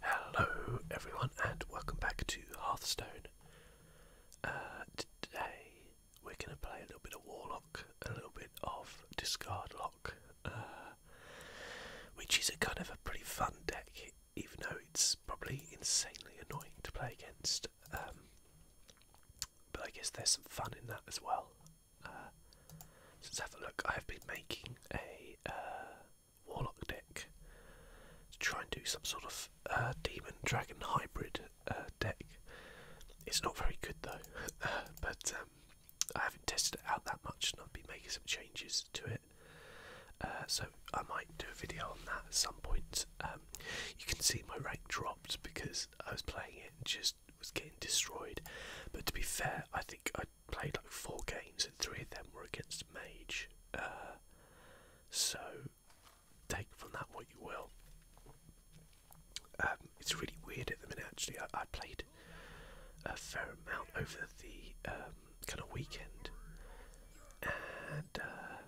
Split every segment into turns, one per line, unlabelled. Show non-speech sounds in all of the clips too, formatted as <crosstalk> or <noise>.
Hello everyone and welcome back to Hearthstone. Uh, today we're going to play a little bit of Warlock, a little bit of Discard Lock, uh, which is a kind of a pretty fun deck even though it's probably insanely annoying to play against. Um, but I guess there's some fun in that as well. Uh, let's have a look. I have been making a warlock deck to try and do some sort of uh, demon dragon hybrid uh, deck. It's not very good though, <laughs> uh, but um, I haven't tested it out that much, and I've been making some changes to it. so I might do a video on that at some point. Um, you can see my rank dropped because I was playing it and just was getting destroyed. But to be fair, I think I played like four games and three of them were against Mage. Uh, so take from that what you will. Um, it's really weird at the minute actually. I, played a fair amount over the um, kind of weekend. And uh,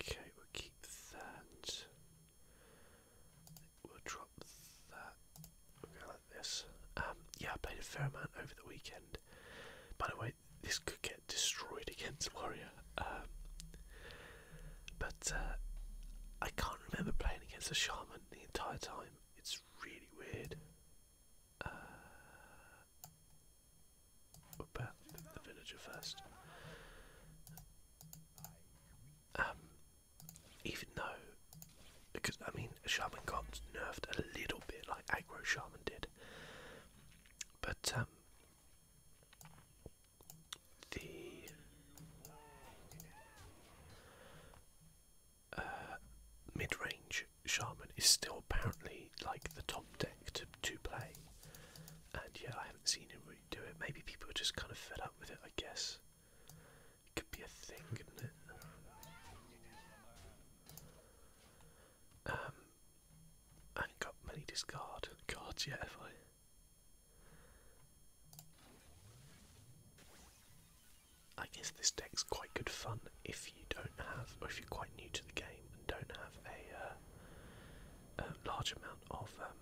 okay, we'll keep that we'll drop that. we like this. Um, yeah, I played a fair amount over the weekend. By the way, this could get destroyed <laughs> against Warrior. Um, but uh, I can't remember playing against a shaman the entire time. It's really weird. Uh, what about the villager first? Um, even though, because I mean, Shaman got nerfed a little bit like Aggro Shaman did, but um, the uh, mid range Shaman is still apparently like the top deck to, to play, and yeah, I haven't seen him really do it. Maybe people are just kind of fed up with it, I guess could be a thing, couldn't it? Um, I have got many discard cards yet, have I? I guess this deck's quite good fun if you don't have, or if you're quite new to the game and don't have a, uh, large amount of um,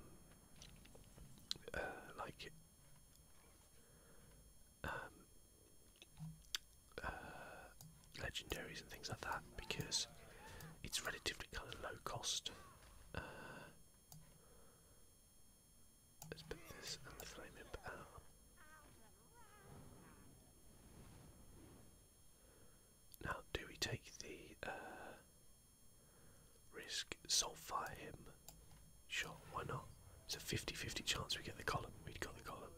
uh, like um, uh, legendaries and things like that because it's relatively kind of low cost. Uh, now, do we take the uh, risk? Soulfire him Sure, why not? It's a 50-50 chance we get the column. We'd got the column.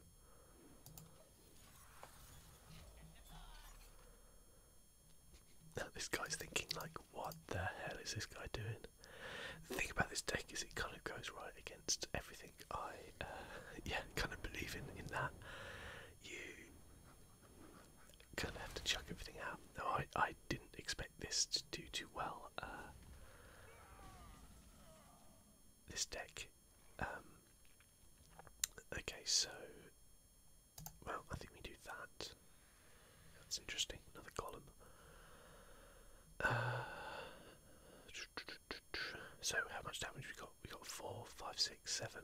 Now this guy's thinking like, what the hell is this guy doing? The thing about this deck is it kind of goes right against everything I, uh, <laughs> yeah, kind of believe in. In that, you kind of have to chuck everything out. No, I, I didn't expect this to do too well. Uh, this deck. Um, okay, so well, I think we do that. That's interesting. Another column. Uh, so how much damage we got? We got four, five, six, seven,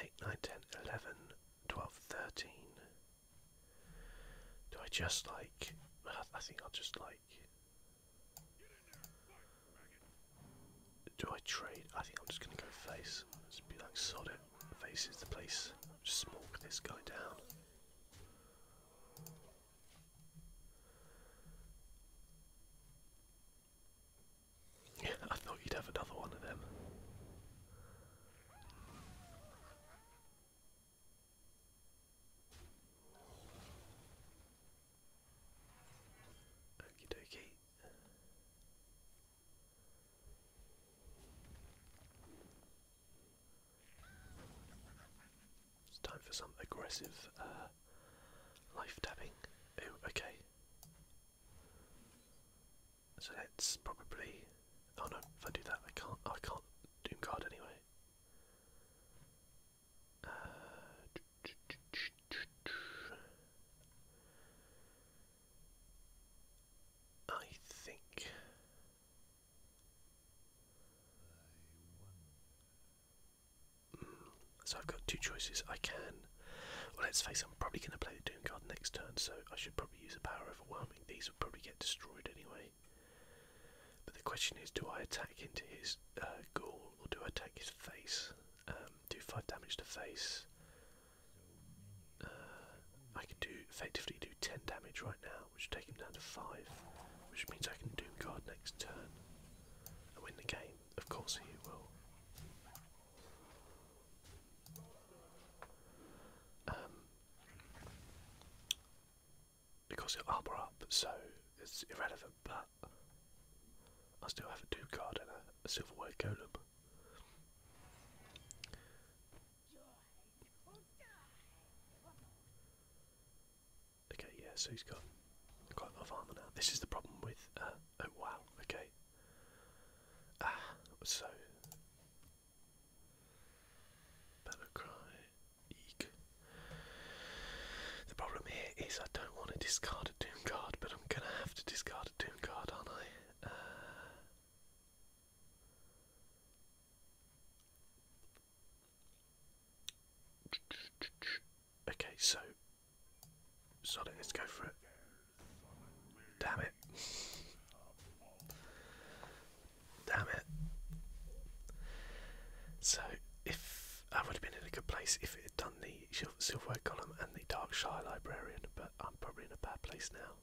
eight, nine, ten, eleven, twelve, thirteen. Do I just like. I think I'll just like. Do I trade? I think I'm just gonna go face. Just be like, sod it. Face is the place. Just smoke this guy down. Yeah, <laughs> I thought you'd have another one of them. Okie dokie. It's time for some aggressive uh, life tapping. Oh, okay. So let's probably. Oh no! If I do that, I can't. I can't doom anyway. Uh, I think mm, so. I've got two choices. I can. Well, let's face it, I'm probably going to play the Doom Guard next turn, so I should probably use a power overwhelming. These will probably get destroyed anyway. But the question is, do I attack into his uh, or do I take his face? Um, do five damage to face. Uh, I can do effectively do ten damage right now, which will take him down to five, which means I can doom guard next turn and win the game. Of course he will. Um, because it armor up, so it's irrelevant, but I still have a 2 card and a, silverware golem. Okay, yeah, so he's got quite a lot of armor now. This is the problem with, uh, oh wow, okay. Ah, so Battlecry, eek. The problem here is I don't want to discard a Doom card, but I'm gonna have to discard a Doom card, aren't I? Uh, okay, so sod let's go for it. Damn it. Damn it. So, if I would have been in a good place if it had done the silverware column and the dark shy librarian, but I'm probably in a bad place now.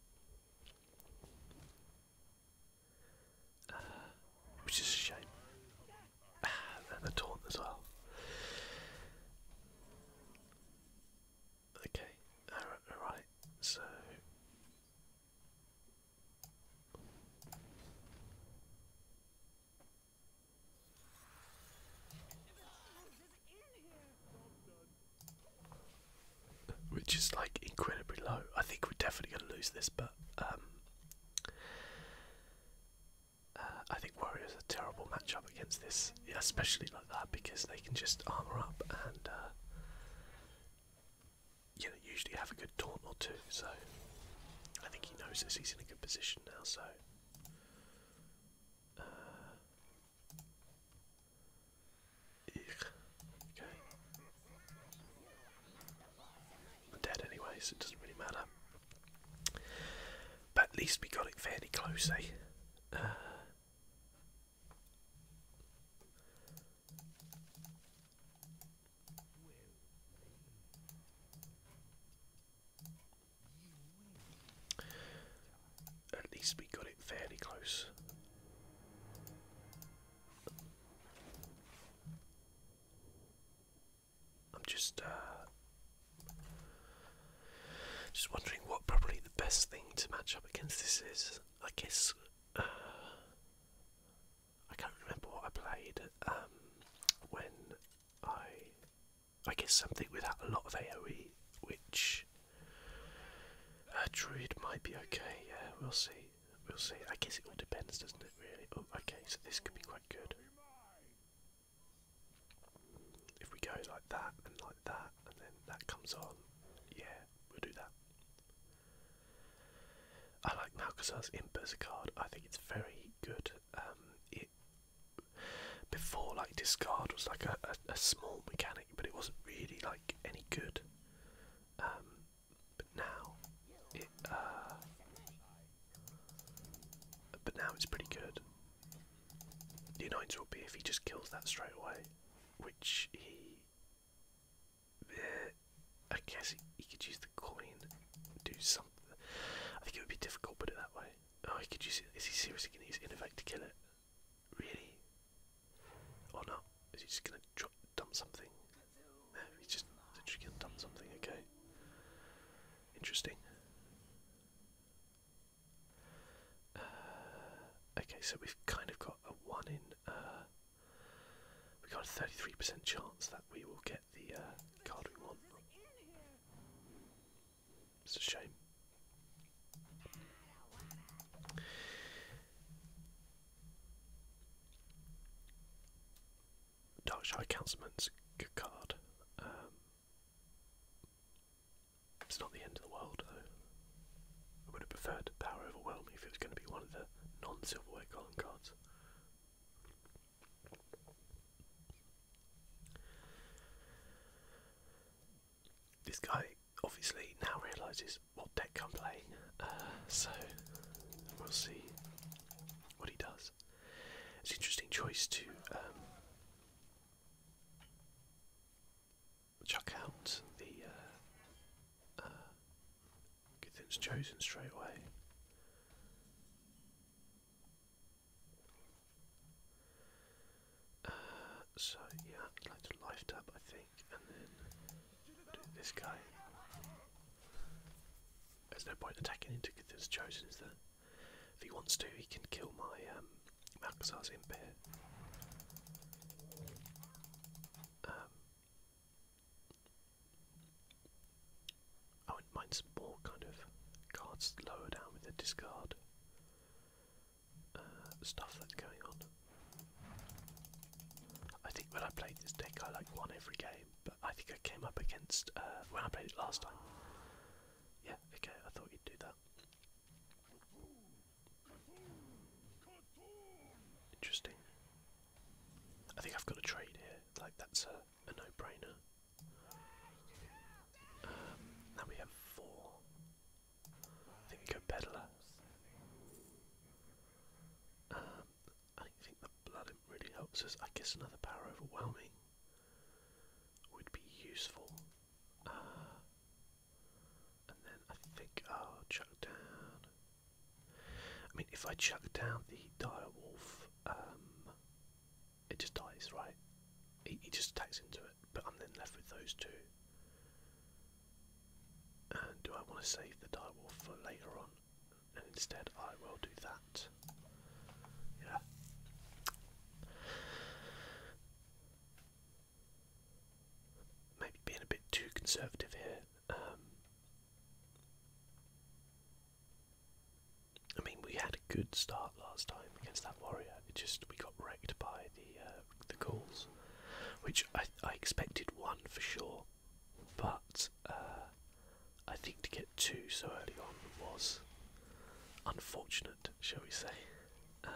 Uh, which is a shame. Ah, and the taunt as well. Okay, all right. so which is like incredibly low. I think we're definitely going to lose this, but um, uh, I think Warriors are a terrible matchup against this, yeah, especially like that, because they can just armor up and uh, you usually have a good taunt or two, so I think he knows this. He's in a good position now, so. Uh, okay. I'm dead anyway, so it doesn't really matter. But at least we got it fairly closely. Eh? Uh, at least we got it fairly close. I'm just uh, just wondering what probably the best thing to match up against this is. I guess uh, I can't remember what I played um, when I I guess something without a lot of AOE, which uh, Druid might be okay. Yeah, we'll see. We'll see. I guess it all depends, doesn't it? Really. Oh, okay. So this could be quite good. If we go like that and like that, and then that comes on, yeah, we'll do that. I like now because I as in card. I think it's very good. Um, before like discard was like a, small mechanic, but it wasn't really like any good. Um, but now uh, but now it's pretty good. The annoyance will be if he just kills that straight away, which he I guess he, could use the coin, do something. I think it would be difficult, put it that way. Oh, he could use it. Is he seriously going to use effect to kill it? Really? Or not? Is he just going to dump something? No, just literally going to dump something, okay. Interesting. Uh, okay, so we've kind of got a 1 in uh, we got a 33% chance that we will get the uh, card we want. It's a shame. Darkshire Councilman's good card. Um, it's not the end of the world though. I would have preferred Power Overwhelm if it was going to be one of the non-silverware column cards. This guy obviously now realises what deck I'm playing, uh, so we'll see what he does. It's an interesting choice to um, chuck out the uh, uh things chosen straight away. Uh, so yeah, I'd like to life tap I think, and then this guy. There's no point attacking into good things chosen, is there? If he wants to, he can kill my um, Malcazar's imp um, I would mind some more kind of cards lower down with the discard uh, stuff that's going on. I think when I played this deck, I like won every game, but I think I came up against uh, when I played it last time. Yeah, okay, I thought you'd do that. Interesting. I think I've got a trade here. Like that's a, no-brainer. Um, now we have four. think we go peddler. Um, I think the blood really helps us. I guess another power overwhelming would be useful. Uh, and then I think I'll chuck down. I mean, if I chuck down the direwolf, um, it just dies, right? He, just attacks into it, but I'm then left with those two. And do I want to save the direwolf for later on? And instead, I will do that. Yeah maybe being a bit too conservative here. Um, I mean, we had a good start last time against that warrior. It just we got wrecked by the uh, the calls, which I, I expected one for sure, but uh, I think to get two so early on was unfortunate, shall we say? Uh,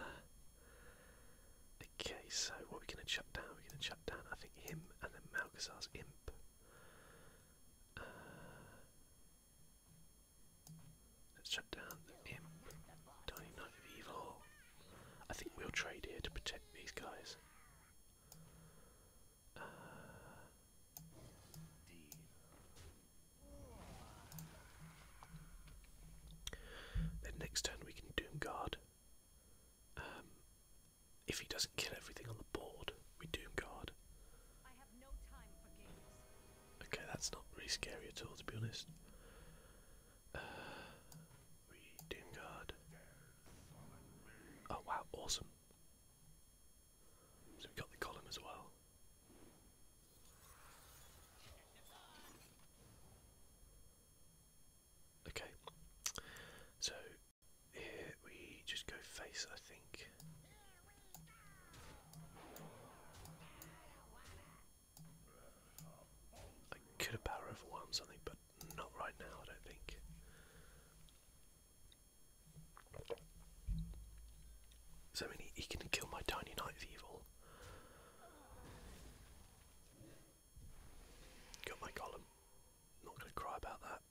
Okay, so what are we going to shut down? We're going to shut down, I think, him and then Malcazar's imp. Uh, let's shut down the imp. Tiny Knight of Evil. I think we'll trade here to protect these guys. Uh, then next turn we can Doom Guard. Um, if he doesn't kill everything on the board, we doom God. Okay, that's not really scary at all, to be honest. Uh, we doom guard. Oh wow, awesome! So we got the column as well. Okay, so here we just go face, I think. I could have power overwhelm something, but not right now, I don't think. So I he can kill my tiny knight of evil. Got my column. Not going to cry about that.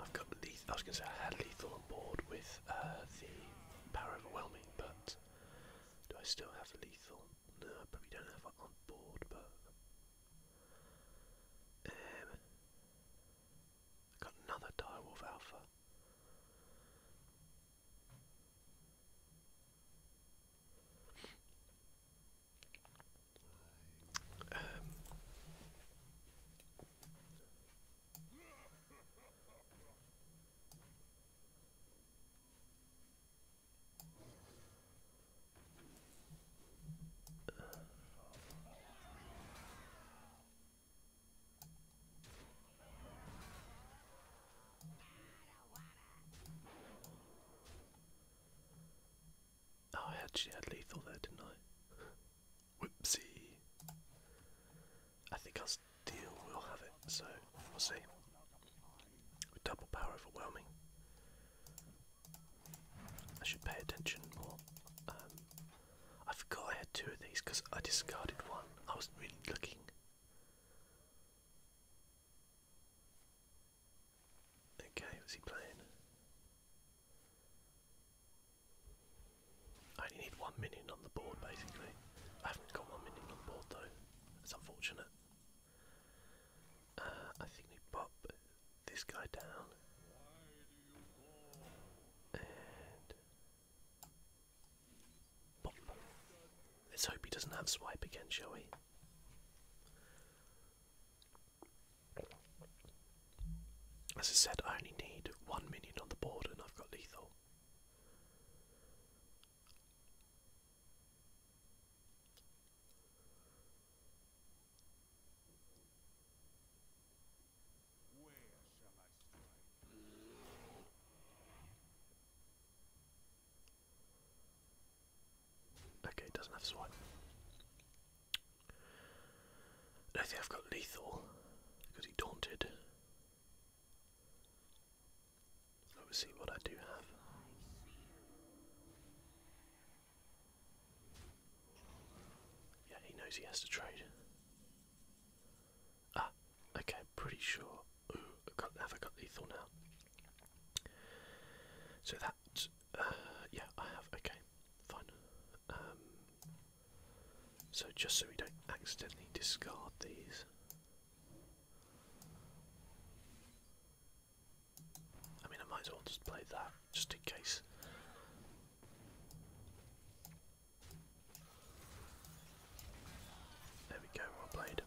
I've got lethal. I was going to say I had lethal on board with uh, the power overwhelming, but do I still have lethal? No, I probably don't have it on board, but. Um, Got another direwolf alpha. Um, Oh, I actually had lethal there, didn't I? <laughs> Whoopsie. I think our steel will have it, so we'll see. double power overwhelming. I should pay attention more. Um, I forgot I had two of these because I discarded one. I wasn't really looking. Okay, what's he playing? I only need one minion on the board basically. I haven't got one minion on board though. That's unfortunate. Uh, I think we pop this guy down. Let's hope he doesn't have swipe again, shall we? As I said, I only need one minion on the board and I've got lethal. I Okay, doesn't have swipe. I don't think I've got lethal because he daunted. Let's see what I do have. Yeah, he knows he has to trade. Ah, okay, pretty sure. Ooh, I got, have I got lethal now? So that, uh, yeah, I have. Okay, fine. Um, so just so we don't accidentally discard these. I mean, I might as well just play that, just in case there we go, well played.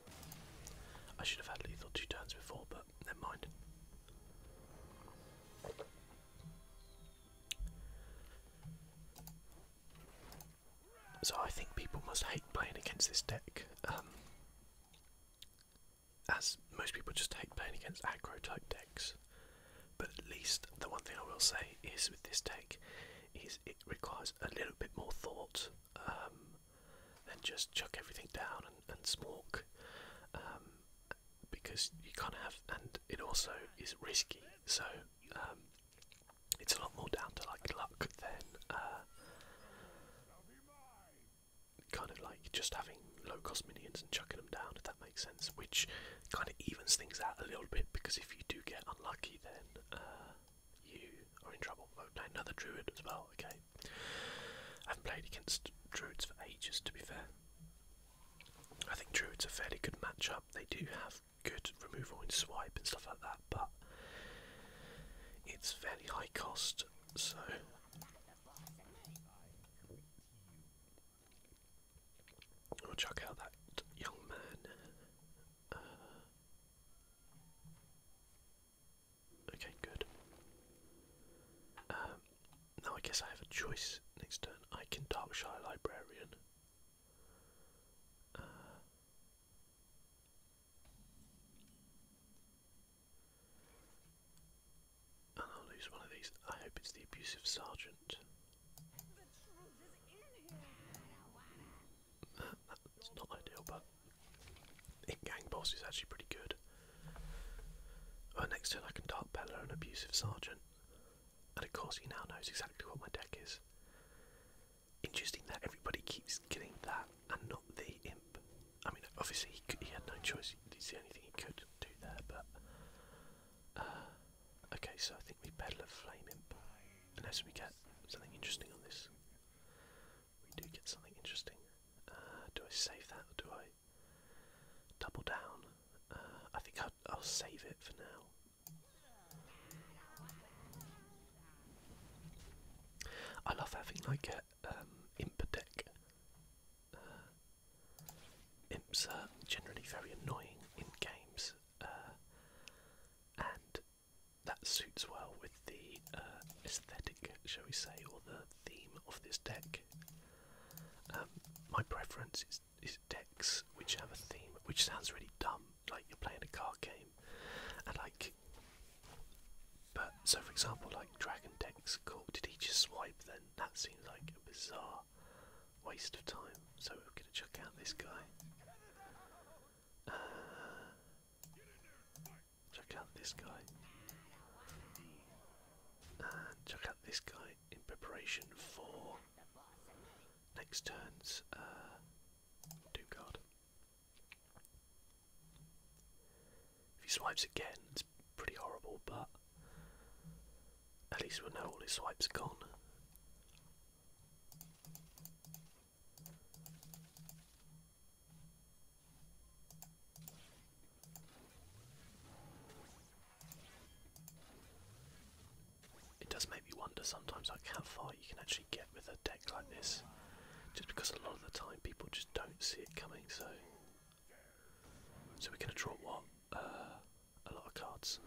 I should have had lethal two turns before, but never mind. So I think people must hate playing against this deck, um, as most people just hate playing against aggro type decks. But at least the one thing I will say is with this take, is it requires a little bit more thought um, than just chuck everything down and, and smoke. Um, because you can't have, and it also is risky. So um, it's a lot more down to like luck than uh, kind of like just having low cost minions and chucking them down. If that makes sense, which kind of evens things out a little bit because if you do get unlucky, then uh, you are in trouble. Oh, another druid as well, okay. I haven't played against druids for ages, to be fair. I think druids are fairly good matchup. They do have good removal and swipe and stuff like that, but it's fairly high cost, so We'll check out that young man. Uh, okay, good. Um, now I guess I have a choice next turn. I can Darkshire Librarian. Uh, and I'll lose one of these. I hope it's the abusive sergeant. That's not ideal, but in Gang Boss is actually pretty good. Oh, next turn I can Dark Peddler and Abusive Sergeant. And of course he now knows exactly what my deck is. Interesting that everybody keeps getting that and not the imp. I mean, obviously he, he had no choice. It's the only thing he could do there, but uh, okay, so I think we Pedal of Flame unless we get something interesting on this. We do get something interesting. Uh, do I save that or do I double down? Uh, I think I'll, save it for now. I love having like a um, deck. Imps are generally very annoying in games, uh, and that suits well with the uh, aesthetic, shall we say, or the theme of this deck. Um, my preference is, is decks which have a theme, which sounds really dumb, like you're playing a card game, and like. But so, for example, like dragon decks. Cool. Did he just swipe then? That seems like a bizarre waste of time. So we're going to check out this guy. Uh, check out this guy. And check out this guy in preparation for next turn's uh, do card. If he swipes again, pretty horrible, but at least we know all his swipes are gone. It does make me wonder sometimes how far you can actually get with a deck like this. Just because a lot of the time people just don't see it coming, so so we're gonna draw what? Uh, a lot of cards.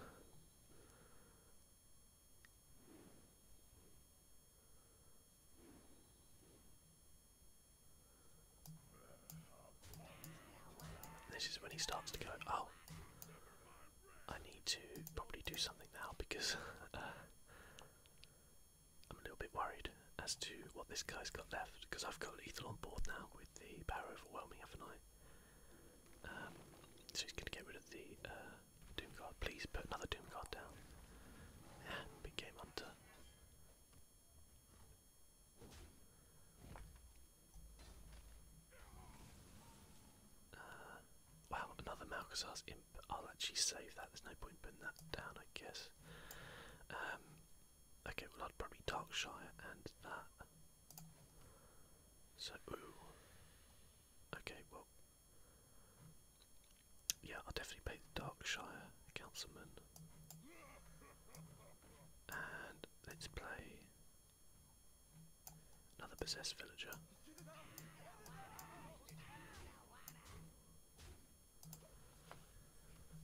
This is when he starts to go, oh, I need to probably do something now because <laughs> uh, I'm a little bit worried as to what this guy's got left because I've got lethal on board now, the power overwhelming, have night. I? Um, so he's going to get rid of the uh, Doom Guard. Please put another Doom Guard down. Yeah, big game hunter. Uh, wow, another Malcazar's imp. I'll actually save that. There's no point putting that down, I guess. Um, Okay, well I'd probably Darkshire and that. So Okay, well Yeah, I'll definitely pay the Darkshire Councilman. And let's play another possessed villager.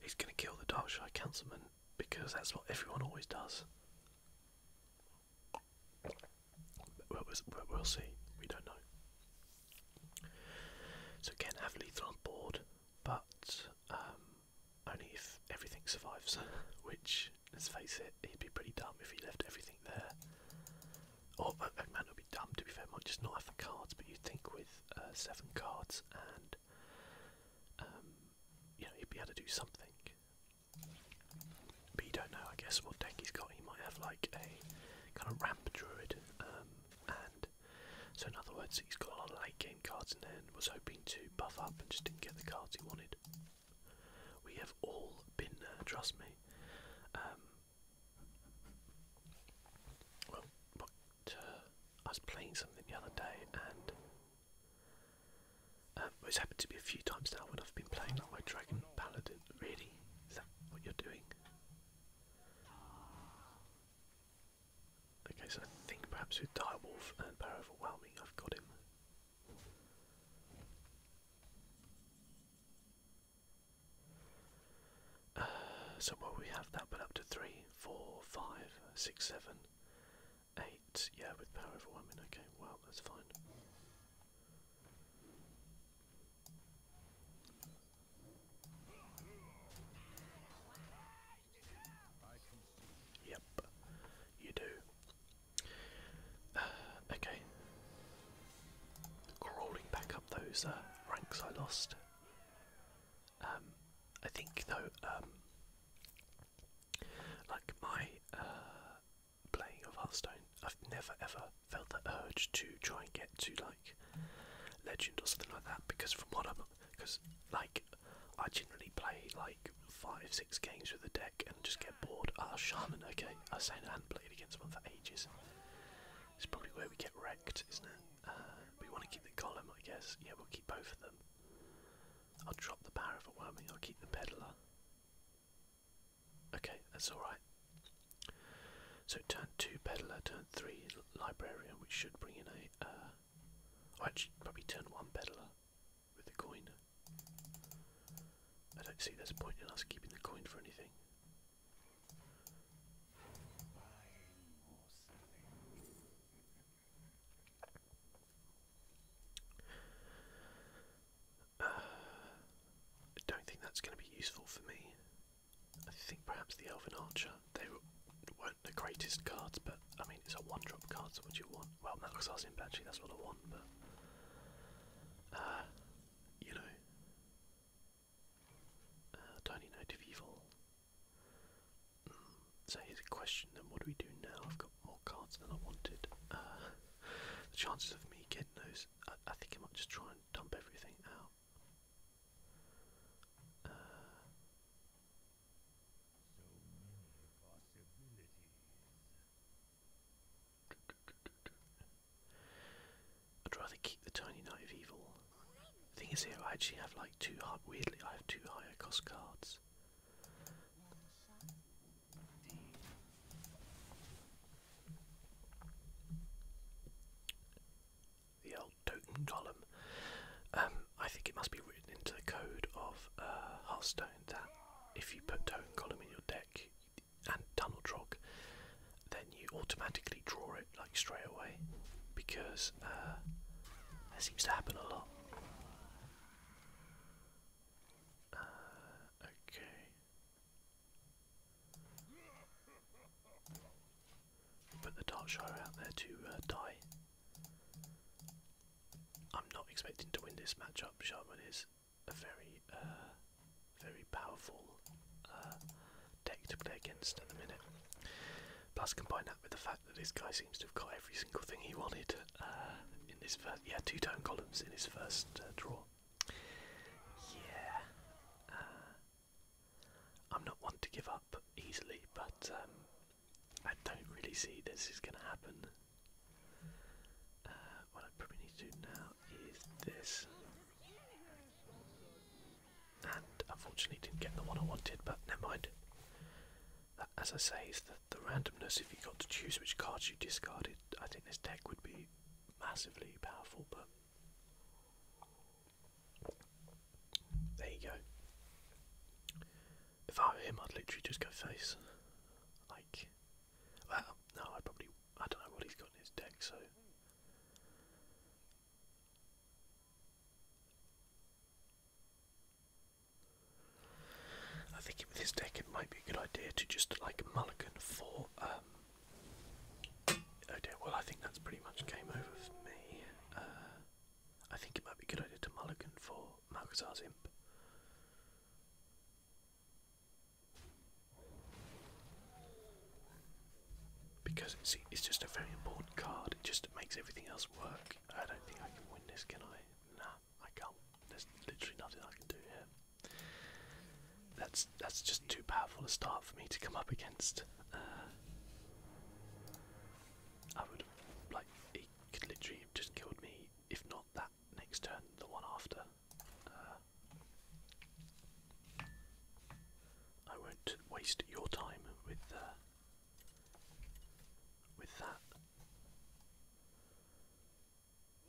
He's gonna kill the Darkshire Councilman because that's what everyone always does. But we'll, see. We don't know. So again, have lethal on board, but um, only if everything survives. <laughs> Which, let's face it, he'd be pretty dumb if he left everything there. Or oh, uh, would uh, be dumb. To be fair, might just not have the cards. But you think with uh, seven cards and um, you know, he'd be able to do something. But you don't know, I guess, what deck he's got. He might have like a kind of ramp druid, um, and so in other words, he's got a lot of late game cards in there and was hoping to buff up and just didn't get the cards he wanted. We have all been there, trust me. Um, well, what uh, I was playing something the other day and um, it's happened to be a few times now when I've been playing like my Dragon Paladin. Really? Is that what you're doing? Okay, so I think perhaps with wolf and Power Overwhelming I've got him. Uh, so while we have that, but up to three, three, four, five, six, seven, eight. Yeah, with power overwhelming. Okay, well, that's fine. Yep, you do. Uh, okay. Crawling back up those uh, ranks I lost. Um, I think though, um, like my uh, playing of Hearthstone, I've never ever felt the urge to try and get to like Legend or something like that because from what I'm, because like I generally play like five, six games with a deck and just get bored. Ah, oh, Shaman, okay. I was saying I hadn't played against one for ages. It's probably where we get wrecked, isn't it? we want to keep the column, I guess. Yeah, we'll keep both of them. I'll drop the power overwhelming. I'll keep the peddler. Okay, that's all right. So turn two peddler, turn three librarian, which should bring in a. Uh, oh, probably turn one peddler with the coin. I don't see there's a point in us keeping the coin for anything. I don't think that's going to be useful for me. I think perhaps the Elven Archer. They weren't the greatest cards, but I mean, it's a one drop card, so what do you want? Well, Malaxar's in Banshee, that's what I want, but. Uh, you know. Uh, Tiny of Evil. So here's a question then, what do we do now? I've got more cards than I wanted. Uh, the chances of me getting those, I, think I might just try and dump everything out. Uh, I'd rather keep the tiny knight evil the thing is here, I actually have like two, high, weirdly I have two higher cost cards. The old totem column. Um, I think it must be written into the code of uh, Hearthstone that if you put totem column in your deck and tunnel trog, then you automatically draw like straight away because uh, that seems to happen a lot. Uh, okay. Put the Darkshire out there to uh, die. I'm not expecting to win this matchup. Shaman is a very, very powerful deck to play against at the minute. Plus, combine that with the fact that this guy seems to have got every single thing he wanted uh, in his yeah, two tone columns in his first uh, draw. Yeah, uh, I'm not one to give up easily, but um, I don't really see this is going to happen. what I probably need to do now is this and unfortunately didn't get the one I wanted, but never mind. Uh, as I say, is the, the randomness. If you got to choose which cards you discarded, I think this deck would be massively powerful, but there you go. If I were him, I'd literally just go face. Like, well, no, I probably, I don't know what he's got in his deck, so. I think with his deck, it might be a good idea to just like mulligan for. Um, well, I think that's pretty much game over for me. Uh, I think it might be a good idea to mulligan for Malcazar's Imp. Because it's just a very important card. It just makes everything else work. I don't think I can win this, can I? Nah, I can't. There's literally nothing I can do here. That's that's just too powerful a start for me to come up against. Uh, I would like he could literally have just killed me, if not that next turn, the one after. Uh, I won't waste your time with uh, with that.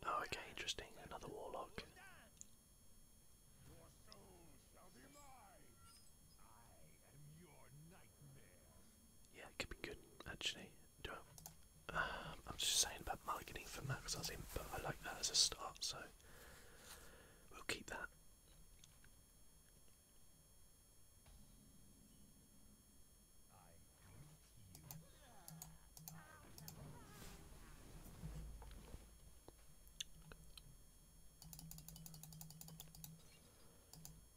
Oh, okay, interesting. Another warlock. I am Yeah, it could be good actually. I, am um, just saying about marketing for Max I in, but I like that as a start, so we'll keep that.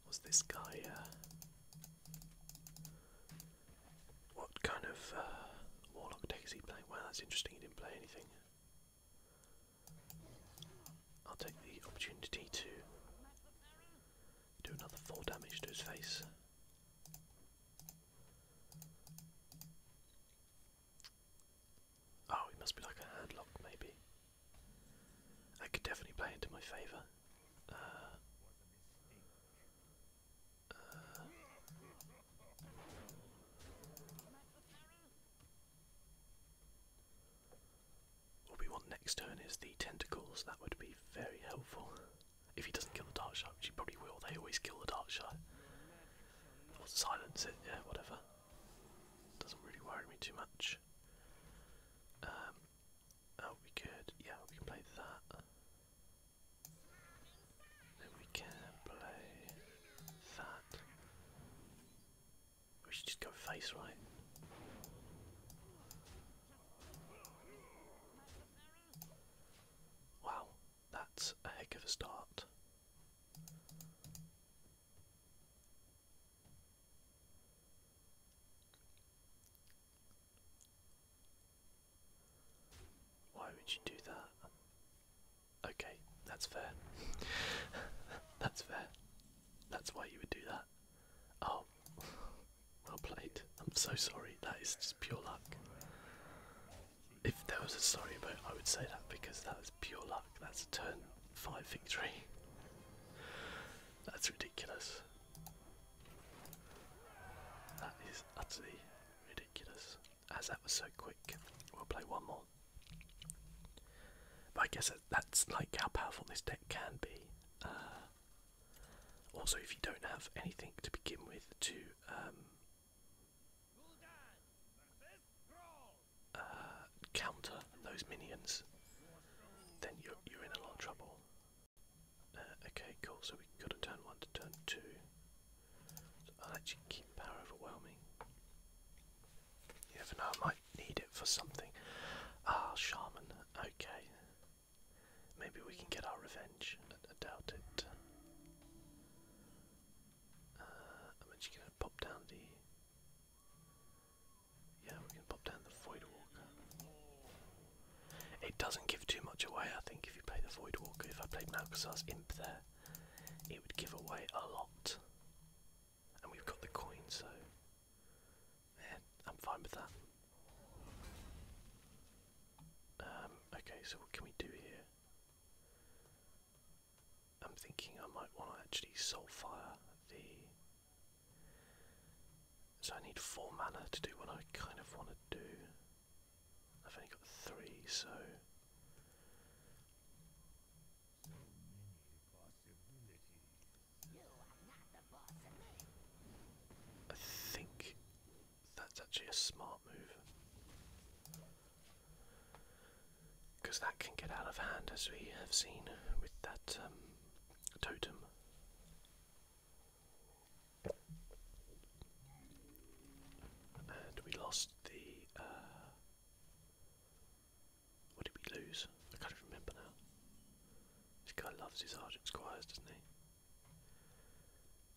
Was this guy, uh, what kind of uh, warlock deck he play? Well, that's interesting, he didn't play anything. I'll take the opportunity to do another 4 damage to his face. Oh, it must be like a handlock, maybe. I could definitely play into my favour. Uh, uh, what we want next turn is the tentacles, that would be very helpful. If he doesn't kill the dark shot, which he probably will, they always kill the dark shot. Or silence it, yeah, whatever. Doesn't really worry me too much. Um, oh, we could, yeah, we can play that. Then we can play that. We should just go face right. Wow, that's a heck of a start. Why would you do that? Okay, that's fair. <laughs> that's fair. That's why you would do that. Oh, <laughs> well played. I'm so sorry. That is just pure luck. If there was a sorry vote, I would say that because that was pure luck. That's a turn five victory. That's ridiculous. That is utterly ridiculous. As that was so quick, we'll play one more. But I guess that's like how powerful this deck can be. Uh, also, if you don't have anything to begin with to um, uh, counter those minions, then you're, you're in a lot of trouble. Uh, okay, cool. So we go to turn one to turn two. I'll actually keep power overwhelming. You never know, I might need it for something. Ah, shaman, okay. Maybe we can get our revenge. I, doubt it. Uh, I'm actually gonna pop down the. Yeah, we can pop down the Void Walker. It doesn't give too much away, I think, if you play the Void Walker. If I played Malcazar's Imp there, it would give away a lot and we've got the coin, so yeah, I'm fine with that. Um, okay, so what can we do here? I'm thinking I might want to actually soulfire the. So I need four mana to do what I kind of want to do. I've only got three, so I think that's actually a smart move. Because that can get out of hand, as we have seen with that um, totem. And we lost the uh, what did we lose? I can't remember now. This guy loves his Argent Squires, doesn't he?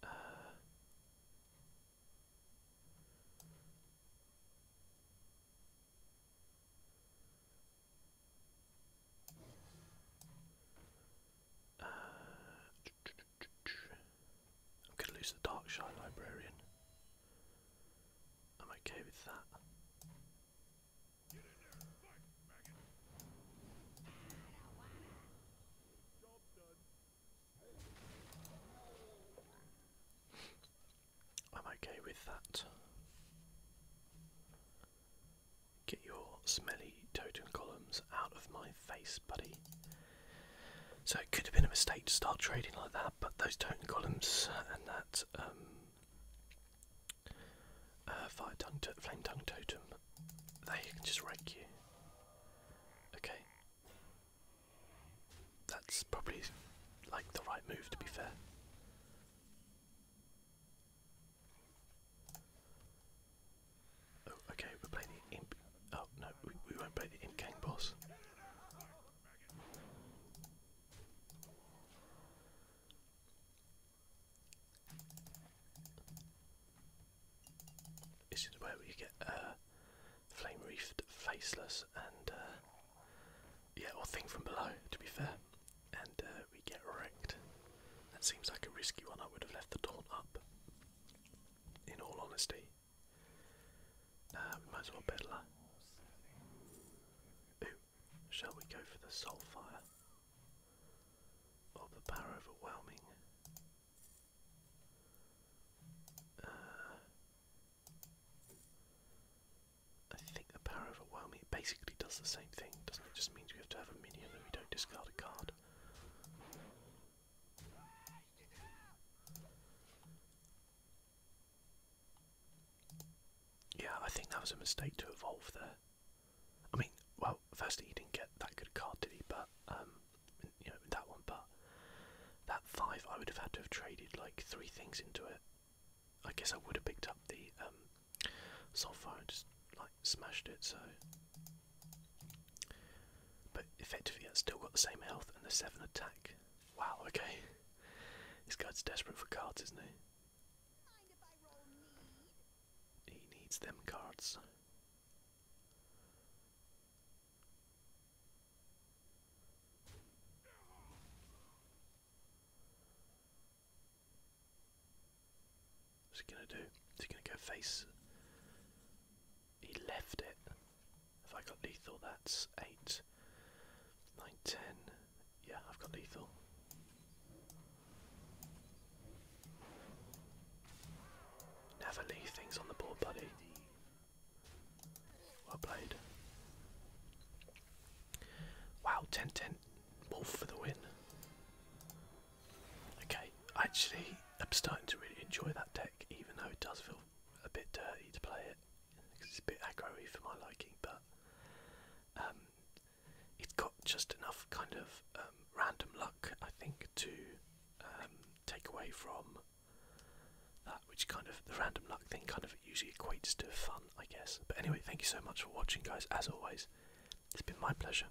Uh, uh, I'm going to lose the Darkshire Librarian. I'm okay with that. I'm okay with that. Get your smelly totem columns out of my face, buddy. So it could have been a mistake to start trading like that, but those totem columns uh, and that um, uh, fire tongue flame tongue totem, they can just rake you. Okay, that's probably like the right move to be fair. Oh, okay, we're playing the imp. Oh no, we, won't play the imp gang boss. This where we get uh, flame reefed, faceless, and uh, yeah, or thing from below. To be fair, and uh, we get wrecked. That seems like a risky one. I would have left the door up. In all honesty. Uh, might as well Peddler. shall we go for the Soulfire? Or the Power Overwhelming? Uh, I think the Power Overwhelming basically does the same thing, doesn't it? Just means we have to have a minion and we don't discard a card. Yeah, I think that was a mistake to evolve there. I mean, well, firstly, he didn't get that good card, did he? But, um, you know, that one, but that five, I would have had to have traded like three things into it. I guess I would have picked up the um, sulfur and just like smashed it, so. But effectively, I've still got the same health and the seven attack. Wow, okay. This guy's desperate for cards, isn't he? He needs them cards. What's he gonna do? Is he gonna go face he left it. Have I got lethal? That's 8, 9, 10. Yeah, I've got lethal. Never leave things on the board, buddy. Well played. Wow, 10 wolf for the win. Okay, actually, I'm starting to really enjoy that deck, even though it does feel a bit dirty to play it because it's a bit aggro for my liking, but um, it's got just enough kind of um, random luck, I think, to um, take away from that, which kind of the random luck thing kind of usually equates to fun, I guess. But anyway, thank you so much for watching, guys. As always, it's been my pleasure.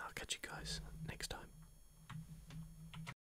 I'll catch you guys next time.